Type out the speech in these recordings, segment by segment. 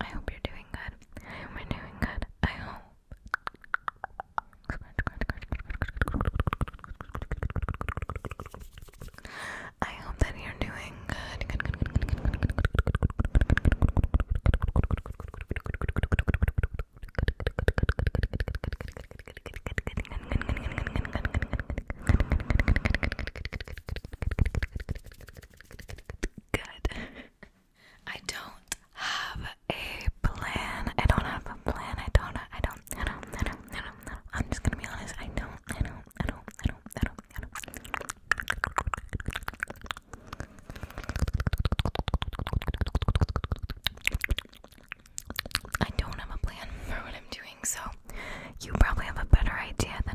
I hope you're doing good. I hope you're doing good. I hope. I hope that you're doing good. Good. I don't have a plan. I don't have a plan. I don't. I don't. I don't. I don't. I don't. I'm just gonna be honest. I don't. I don't. I don't. I don't. I don't. I don't. I don't have a plan for what I'm doing, so you probably have a better idea than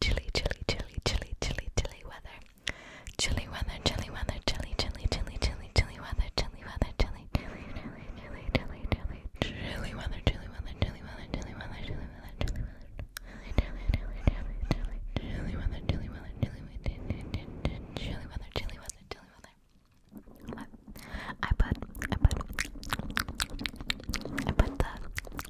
Chilly, chilly, chilly, chilly, chilly, chilly weather. Chilly weather, chilly weather, chilly, chilly, chilly, chilly, chilly weather, chilly weather, chilly, chilly, chilly, chilly, chilly, chilly, chilly weather, chilly weather, chilly weather, chilly weather, chilly weather, chilly weather, chilly, chilly, chilly, chilly, chilly weather, chilly weather, chilly weather, chilly weather, chilly weather, chilly weather. I put, I put, I put the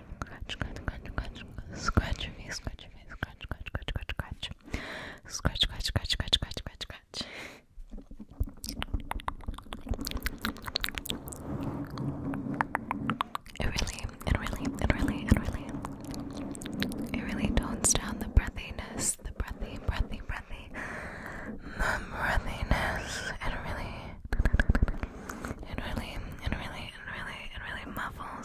scratch, scratch, scratch, scratch, scratch your face, scratch your face, scratch, scratch, scratch, scratch, scratch, scratch, scratch, scratch, scratch, scratch, scratch, scratch. It really, it really, it really, it really, it really tones down the breathiness, the breathy, breathy, breathy, the breathiness. It really, it really, it really, it really, it really, it really muffles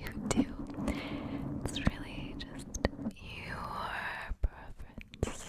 you do. It's really just your preference.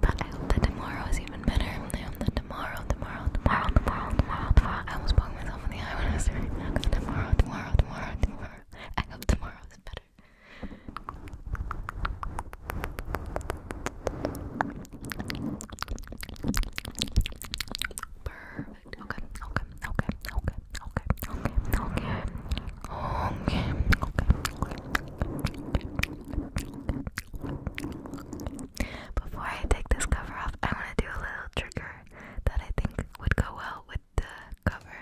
but I hope that tomorrow is even better. I hope that tomorrow, tomorrow, tomorrow, tomorrow, tomorrow, tomorrow. I almost poked myself in the eye I was that. Tomorrow, tomorrow, tomorrow, tomorrow. I hope tomorrow is better. Burr perfect. Okay, okay, okay, okay, okay, okay, okay, okay, okay. Before I take this cover off, I want to do a little trigger that I think would go well with the cover,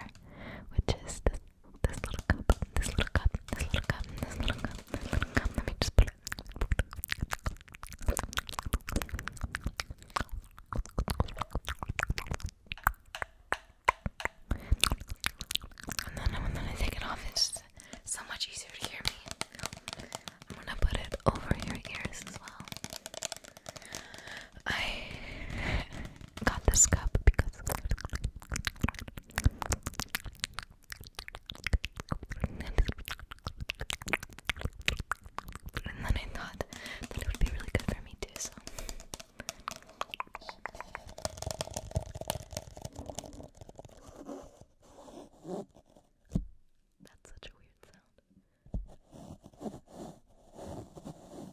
which is this, this little cup, this little cup, this little cup, this little cup, this little cup. Let me just put it. And then when I take it off, it's so much easier to hear me. I'm gonna put it over your ears as well. I got this cup because and then I thought that it would be really good for me too, so. That's such a weird sound.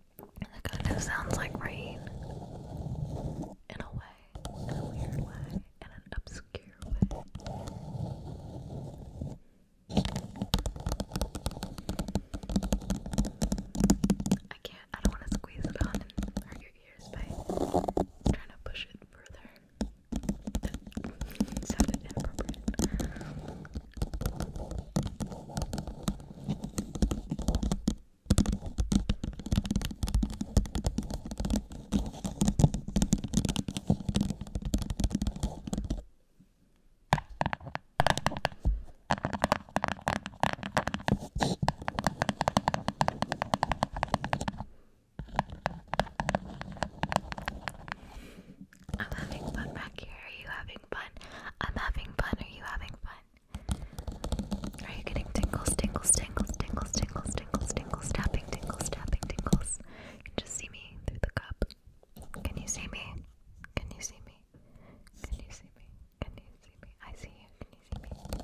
It kind of sounds like rain in a way, in a weird way, in an obscure way. I can't, I don't want to squeeze it on your ears by trying to push it further. That sounded inappropriate. I'm having fun back here. Are you having I'm having fun. Are you having fun? Are you getting tingles, tingles, tingles, tingles, tingles, tingles, tingles, tapping, tingles, tapping, tingles? You just see me through the cup. Can you see me? Can you see me? Can you see me? Can you see me? I see you. Can you see me?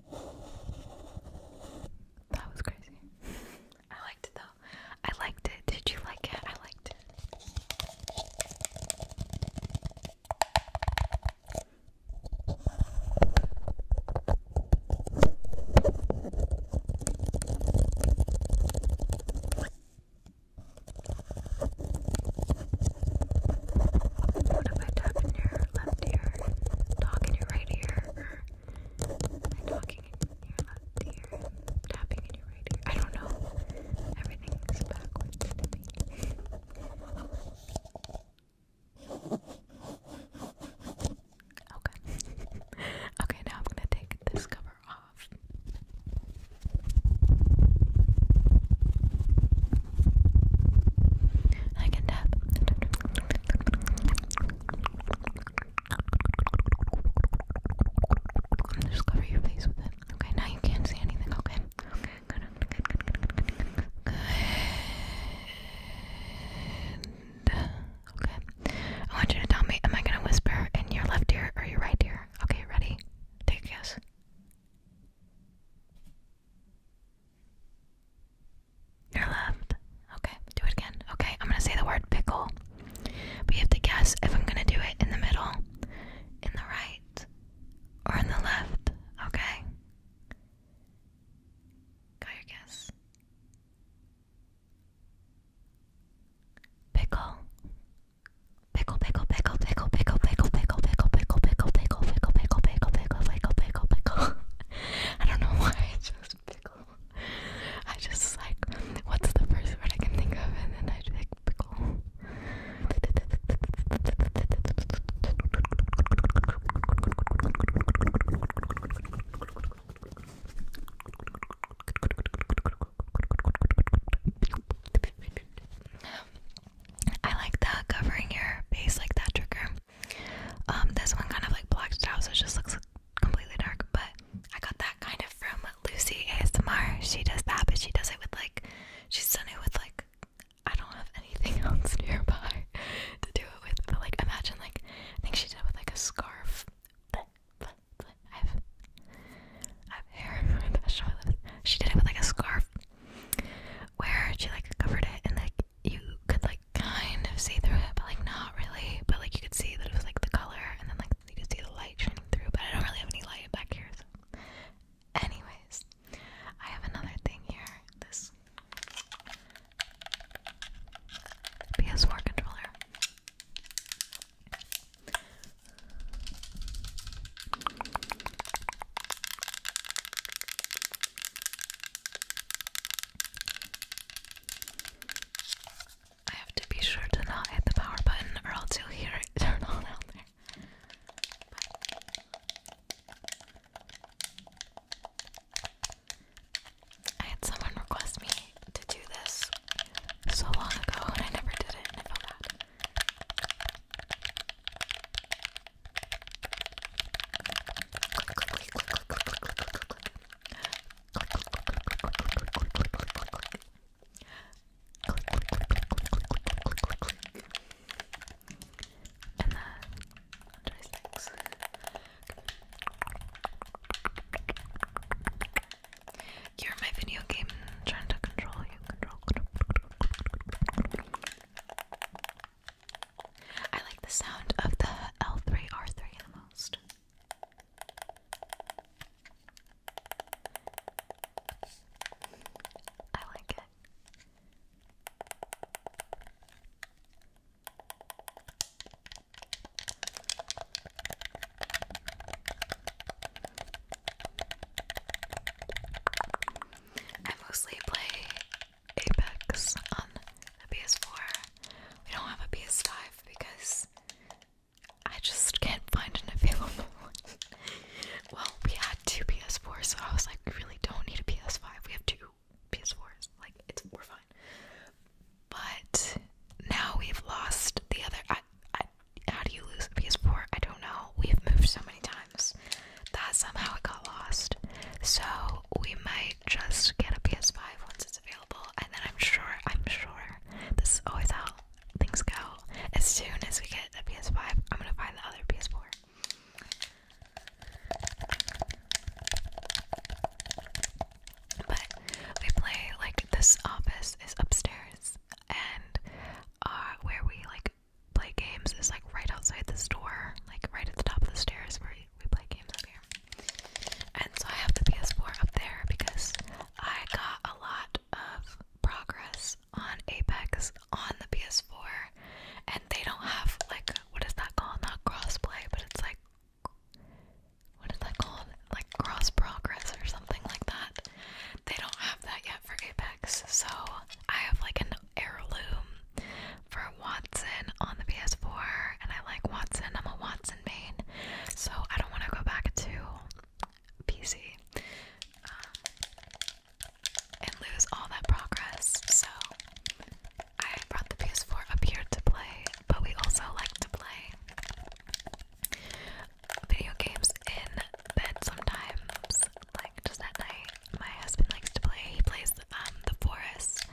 That was crazy. I liked it though. I liked it. Did you like it? I liked it. What have I done here? left ear, talk in your right ear, talking in your left ear, tapping in your right ear. I don't know. Everything's backwards to me. Okay. okay, now I'm gonna take this cover off. I can tap. Just cover your face with it. Okay, now you can't see anything, okay? Okay. I want you to tell me, am I gonna whisper in your left ear or your right ear? Okay, ready? Take a guess. Your left. Okay, do it again. Okay, I'm gonna say the word pickle. But you have to guess if I'm gonna do it in the middle, in the right, or in the left. Okay? Got guess. pickle, pickle, pickle, pickle, pickle, pickle, pickle, pickle, pickle, pickle, pickle, pickle, pickle, pickle, pickle, pickle. I don't know why I chose pickle. I just like, what's the first word I can think of, and then I pick pickle. Um, I like that covering your face like that trigger. Um, this one kind of like blacked it out, so it just looks completely dark. But I got that kind of from Lucy ASMR. She does that, but she does it with like she's done it with like I don't have anything else nearby to do it with. But like imagine like I think she did with like a scarf. I have I have hair. She did it with like a scarf where she like covered it in like you could like kind of see through it, but like not really. But like you could see that it was like the color, and then like you could see the light shining through. But I don't really have any light back here. Anyways, I have another thing here. This PS4 controller. I have to be sure to not hit the power button or else you'll hear it turn on I had someone request me to do this so long ago and I never did it and I felt bad. And then these You're my video game trying to control you. I like the sound of the L3R3 the most. I like it. I mostly play Apex on the PS4. We don't have a PS5 because I just can't find an available one. well, we had two PS4s, so I was like, we really don't need a PS5. We have two PS4s. Like, it's we're fine. But now we've lost the other. I, I, how do you lose a PS4? I don't know. We've moved so many times that somehow it got lost. So we might just get a PS5 once it's available, and then I'm sure, I'm sure, this is always how things go. As soon as we get the PS5, I'm gonna find the other PS4. But we play like this office is upstairs, and uh, where we like play games is like right outside this door, like right at the top of the stairs where we, play games up here. And so I have the PS4 up there because I got a lot of progress on Apex on the PS4, and they don't have like what is that called? Not crossplay, but it's like what is that called? Like cross progress or something like that. They don't have that yet for Apex, so I have like an Heirloom for Watson on the PS4, and I like Watson. I'm a Watson main, so I don't want to go back to PC uh, and lose all that progress. So I brought the PS4 up here to play, but we also like to play video games in bed sometimes, like just at night my husband likes to play. He plays um the forest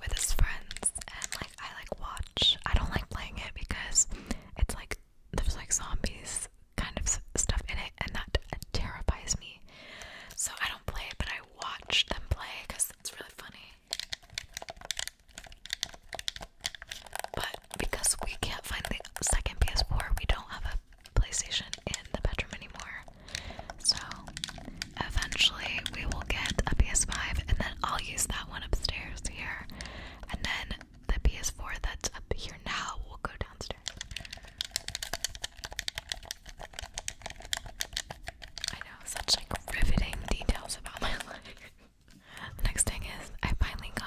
with his friends, and like I like watch. I don't like playing it because it's like there's like zombies kind of stuff in it, and that terrifies me. So I don't play but I watch them play because it's really funny. But because we can't find the second PS4, we don't have a PlayStation in the bedroom anymore. So eventually we will get a PS5 and then I'll use that one upstairs here. And then the PS4 that's up here now will go downstairs. I know, such like riveting details about my life. Next thing is, I finally got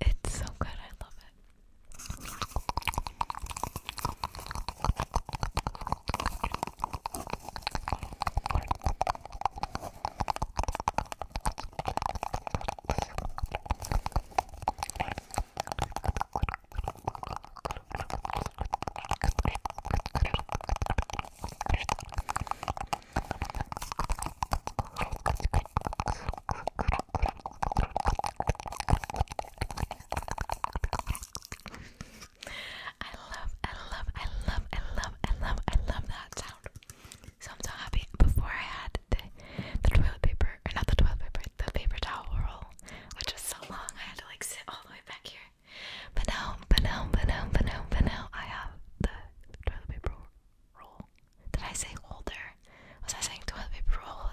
it's so good, I love it. I love, I love, I love, I love, I love, I love that sound. So I'm so happy. Before I had the, the toilet paper, or not the toilet paper, the paper towel roll, which was so long, I had to like sit all the way back here but now, but now, but now, but now, but now, I have the toilet paper roll. Did I say holder? Was I saying toilet paper roll?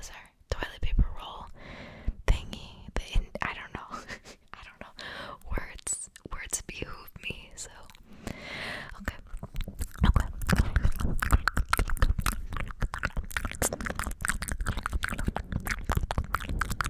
toilet paper roll thingy? The I don't know. I don't know. Words, words behoove me. So okay, okay.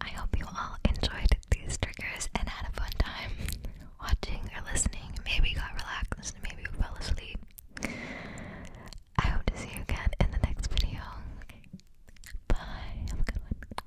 I hope you all enjoyed these triggers and had a fun time watching or listening. Maybe you got relaxed, maybe you fell asleep. I hope to see you again in the next video. Bye. Have a good one.